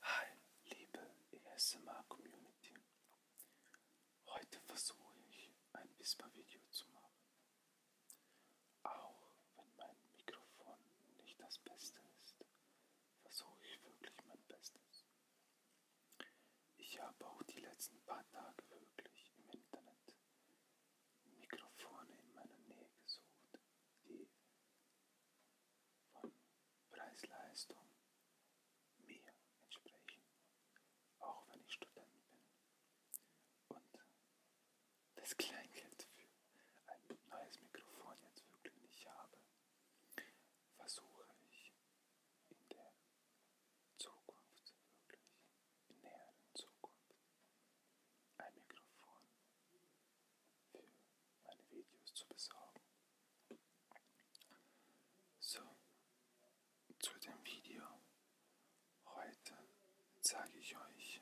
Hi, liebe ESMR Community. Heute versuche ich ein Whisper-Video zu machen. Auch wenn mein Mikrofon nicht das Beste ist, versuche ich wirklich mein Bestes. Ich habe auch die letzten paar Tage wirklich im Internet Mikrofone in meiner Nähe gesucht, die von Preis-Leistung mir entsprechen, auch wenn ich Student bin. Und das Kleingeld für ein neues Mikrofon jetzt wirklich nicht habe, versuche ich in der Zukunft, wirklich in näheren Zukunft, ein Mikrofon für meine Videos zu besorgen. So, zu dem Video. Heute zeige ich euch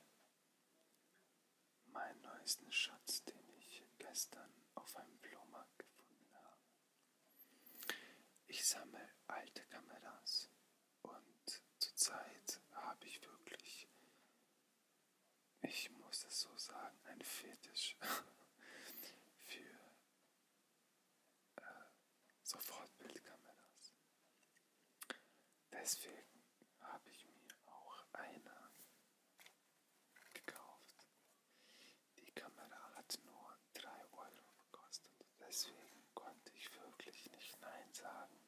meinen neuesten Schatz, den ich gestern auf einem Flohmarkt gefunden habe. Ich sammle alte Kameras und zurzeit habe ich wirklich ich muss es so sagen, ein Fetisch für äh, Sofortbildkameras. Deswegen habe ich mir auch eine gekauft. Die Kamera hat nur 3 Euro gekostet. Deswegen konnte ich wirklich nicht Nein sagen.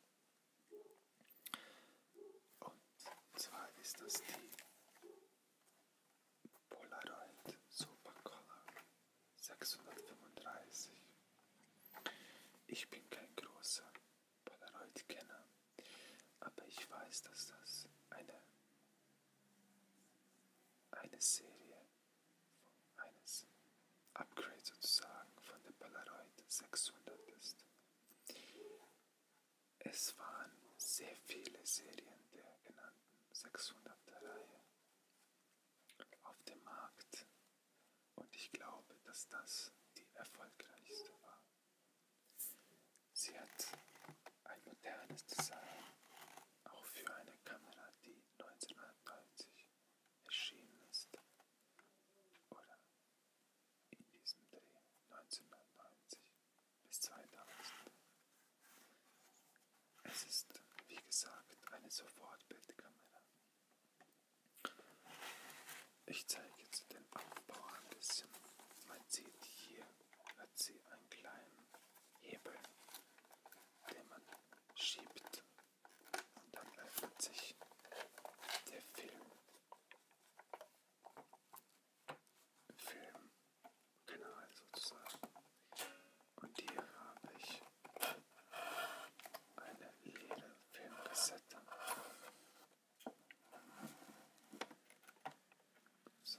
Und zwar ist das die Polaroid Supercolor 635. Ich bin kein großer Polaroid-Kenner, aber ich weiß, dass das eine, eine Serie eines Upgrade sozusagen von der Polaroid 600 ist. Es waren sehr viele Serien der genannten 600er Reihe auf dem Markt und ich glaube, dass das die erfolgreichste war. Sie hat ein modernes Design, auch für eine Kamera, die 1990 erschienen ist oder in diesem Dreh 1990 bis 2000. Es ist, wie gesagt, eine Sofortbildkamera. Ich zeige jetzt den Aufbau ein bisschen. Man sieht hier, hat sie einen kleinen Hebel, den man schiebt und dann öffnet sich der Film Filmkanal sozusagen. Und hier habe ich eine Lederfilmkassette. So.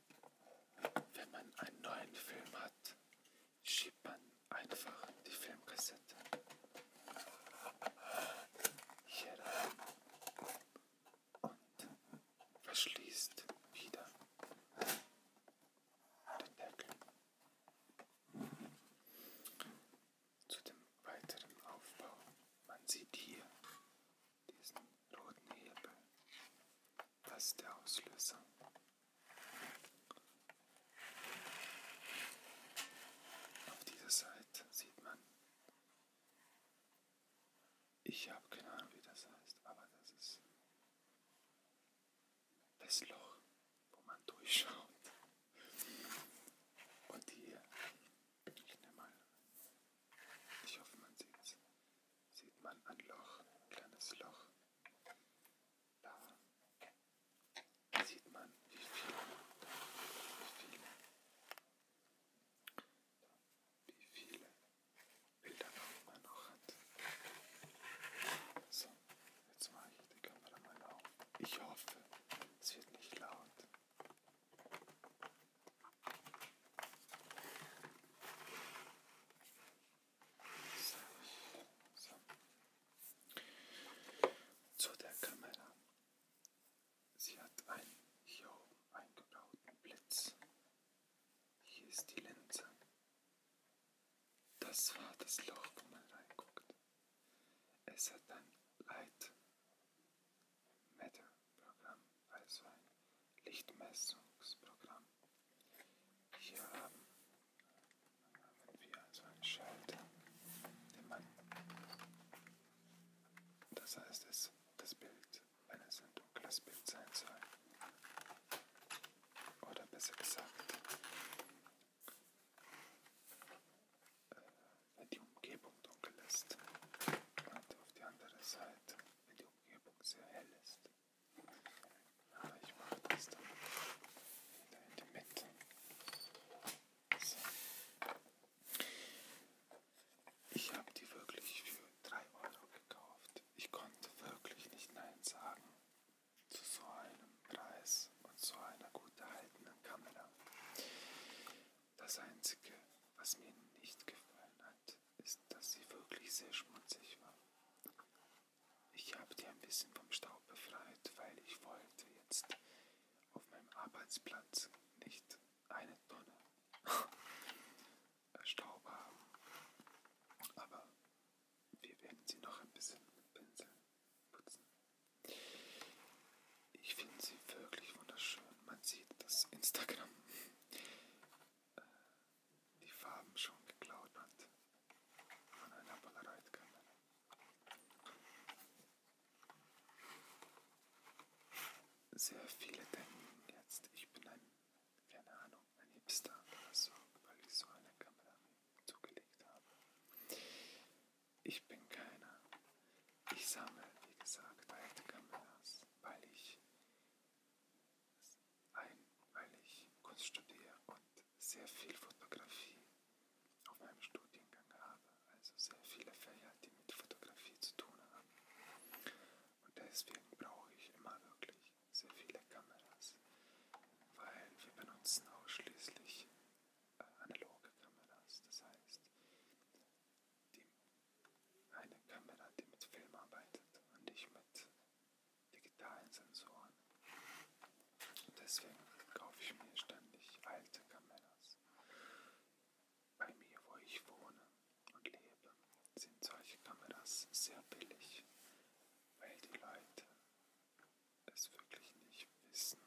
Wenn man einen neuen Film hat, schiebt man einfach die Filmkassette hier rein und verschließt wieder den Deckel. Zu dem weiteren Aufbau. Man sieht hier diesen roten Hebel. Das ist der Auslöser. Auf dieser Seite sieht man, ich habe keine Ahnung, wie das heißt, aber das ist das Loch, wo man durchschaut. Und hier bin ich der Meinung. Ich hoffe, man sieht es. Sieht man ein Loch, ein kleines Loch. Da sieht man, wie viele, wie viele, wie viele Bilder man noch hat. So, jetzt mache ich die Kamera mal auf. Ich hoffe, es wird nicht laut. So. Zu der Kamera. Sie hat einen hier oben eingebauten Blitz. Hier ist die Linse. Das war das Loch, wo man reinguckt. Es hat ein Light Meter-Programm als ein Lichtmessungsprogramm. Hier haben, haben wir also einen Schalter, den man, das heißt, es, das Bild, wenn es ein dunkles Bild sein soll, oder besser gesagt, äh, wenn die Umgebung dunkel ist und auf die andere Seite, wenn die Umgebung sehr hell ist. Aber ah, ich mache das dann wieder in die Mitte. So. Ich habe die wirklich für 3 Euro gekauft. Ich konnte wirklich nicht Nein sagen zu so einem Preis und so einer gut erhaltenen Kamera. Das Einzige, was mir nicht gefallen hat, ist, dass sie wirklich sehr schmutzig war. Ich habe die ein bisschen vom Staub befreit, weil ich wollte jetzt auf meinem Arbeitsplatz nicht eine Tonne Staub haben. Aber wir werden sie noch ein bisschen mit Pinsel putzen. Ich finde sie wirklich wunderschön. Man sieht, dass Instagram äh, die Farben schon geklaut hat von einer Polaroid-Kamera. Sehr viele denken jetzt, ich bin ein, keine Ahnung, ein Hipster oder so, weil ich so eine Kamera zugelegt habe. Ich bin keiner. Ich sammle, wie gesagt, alte Kameras, weil ich ein, weil ich Kunst studiere und sehr viel Fotografie auf meinem Studiengang habe, also sehr viele Fächer, die mit Fotografie zu tun haben. Und deswegen brauche ich immer wirklich sehr viele Kameras, weil wir benutzen ausschließlich äh, analoge Kameras. Das heißt, die, eine Kamera, die mit Film arbeitet und nicht mit digitalen Sensoren. Deswegen kaufe ich mir ständig alte Kameras. Bei mir, wo ich wohne und lebe, sind solche Kameras sehr billig, weil die Leute es wirklich nicht wissen,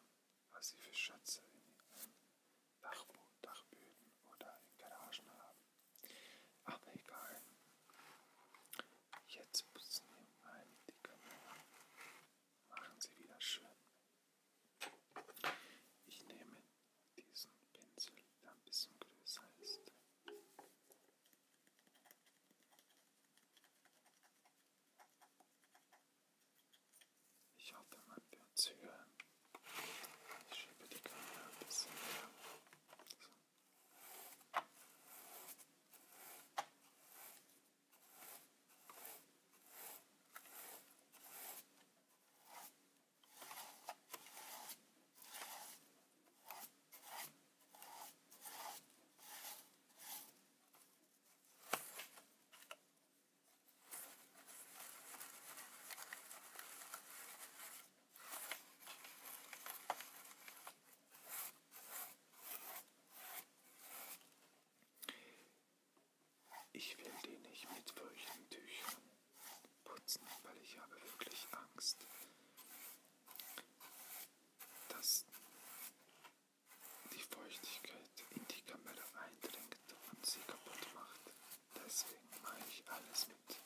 was sie für Schätze in ihren Dachboden, Dachböden oder in Garagen haben. Aber egal. Jetzt putzen wir mal die Kamera. Machen sie wieder schön. Ich nehme diesen Pinsel, der ein bisschen größer ist. Ich hatte mein Benzüge. Ich schiebe die Kamera ein bisschen mehr. So. So, ich will den nicht mit feuchten Tüchern putzen, weil ich habe wirklich Angst, dass die Feuchtigkeit in die Kamera eindringt und sie kaputt macht. Deswegen mache ich alles mit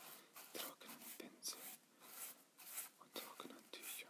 trockenen Pinseln und trockenen Tüchern.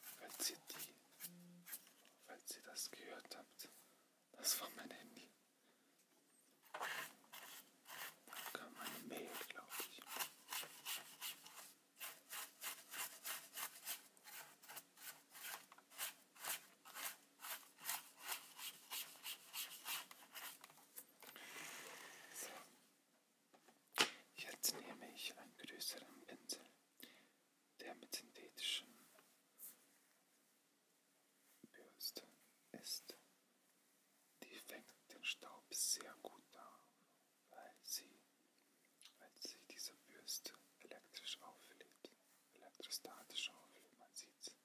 falls ihr die, falls ihr das gehört habt, das war mein Handy. Da kam meine Mail, glaube ich. So. Jetzt nehme ich einen größeren Pinsel der mit synthetischen Bürsten ist. Die fängt den Staub sehr gut auf, weil sie, weil sie diese Bürste elektrisch auflädt, elektrostatisch auflädt, man sieht's.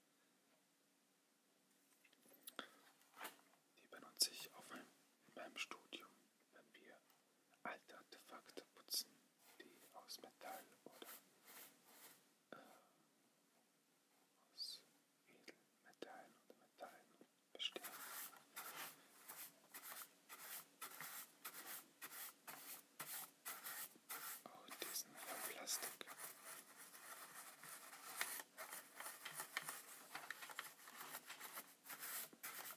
Die benutze ich auf meinem, in meinem Studium wenn wir alte Artefakte putzen, die aus Metall oder äh, aus Edelmetallen oder Metallen bestehen. Auch oh, diesen von Plastik.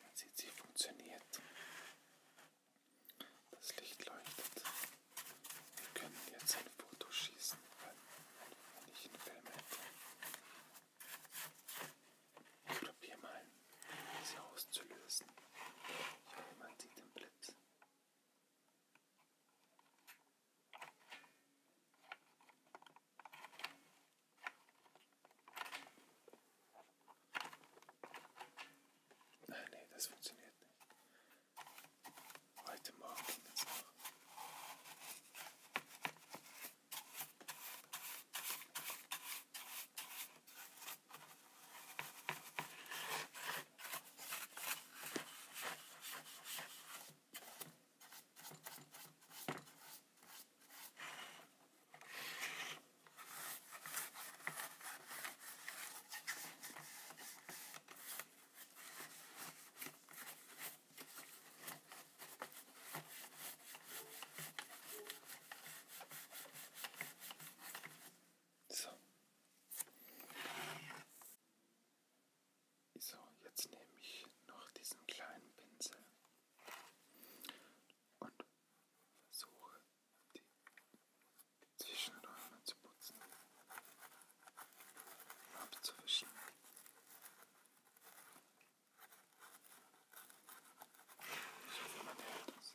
Man sieht, sie funktioniert. Das Licht leuchtet. Wir können jetzt ein Foto schießen, wenn ich einen Film hätte. Ich probiere mal, sie auszulösen. Ich hoffe, man sieht den Blitz. Nein, nee, das funktioniert nicht. Heute Morgen ging das noch. So. So, jetzt nehme ich noch diesen kleinen Pinsel und versuche die Zwischenräume zu putzen, abzuwischen. Ich hoffe, man hört das.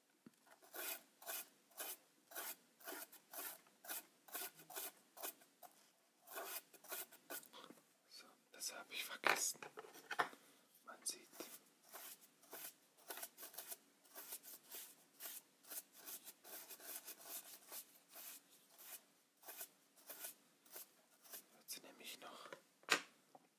So, das habe ich vergessen. Man sieht. Wird sie nämlich noch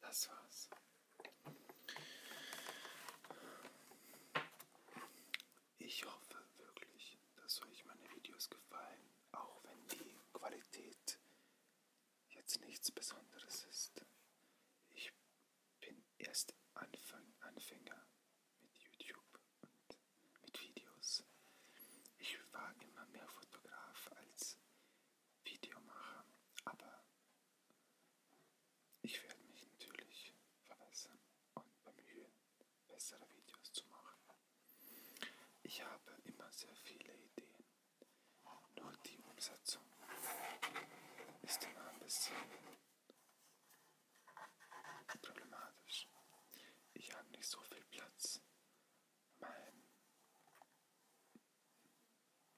Das war's. Ich hoffe wirklich, dass euch meine Videos gefallen, auch wenn die Qualität jetzt nichts Besonderes ist. Ich bin erst Anfang, Anfänger mit YouTube und mit Videos. Ich war immer mehr Fotograf als Video mache, aber ich werde mich natürlich verbessern und bemühen, bessere Videos zu machen. Ich habe immer sehr viele Ideen, nur die Umsetzung ist immer ein bisschen problematisch. Ich habe nicht so viel Platz mein,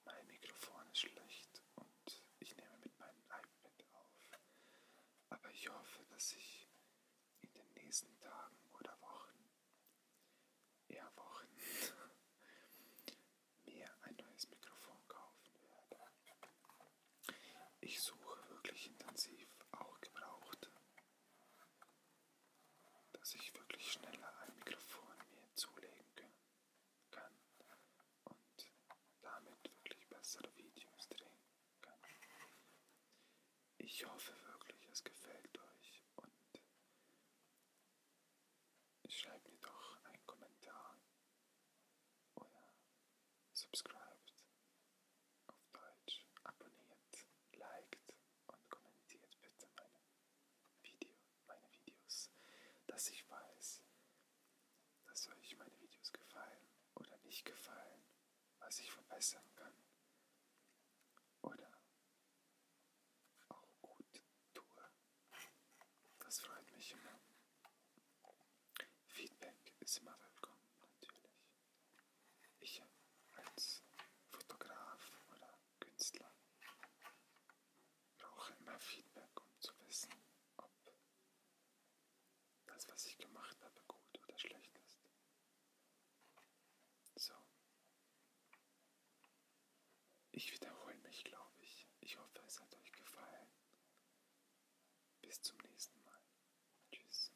mein Mikrofon ist schlecht und ich nehme mit meinem iPad auf. Aber ich hoffe, dass ich in den nächsten Tagen oder Wochen, eher Wochen, mir ein neues Mikrofon kaufen werde. Ich suche wirklich intensiv auch Gebrauchte dass ich wirklich schneller ein Mikrofon mir zulegen kann und damit wirklich bessere Videos drehen kann. Ich hoffe wirklich, es gefällt euch und schreibt mir doch einen Kommentar oder subscribed auf Deutsch, abonniert, liked und kommentiert bitte meine, Video, meine Videos, dass ich weiß, dass euch meine Videos gefallen oder nicht gefallen, was ich verbessern kann oder auch gut tue. Das freut mich immer. Feedback ist immer willkommen, natürlich ich als Fotograf oder Künstler brauche immer Feedback, um zu wissen, ob das, was ich gemacht habe, gut oder schlecht ist. So. Ich wiederhole mich, glaube ich. Ich hoffe, es hat euch gefallen. Bis zum nächsten Mal. Tschüss.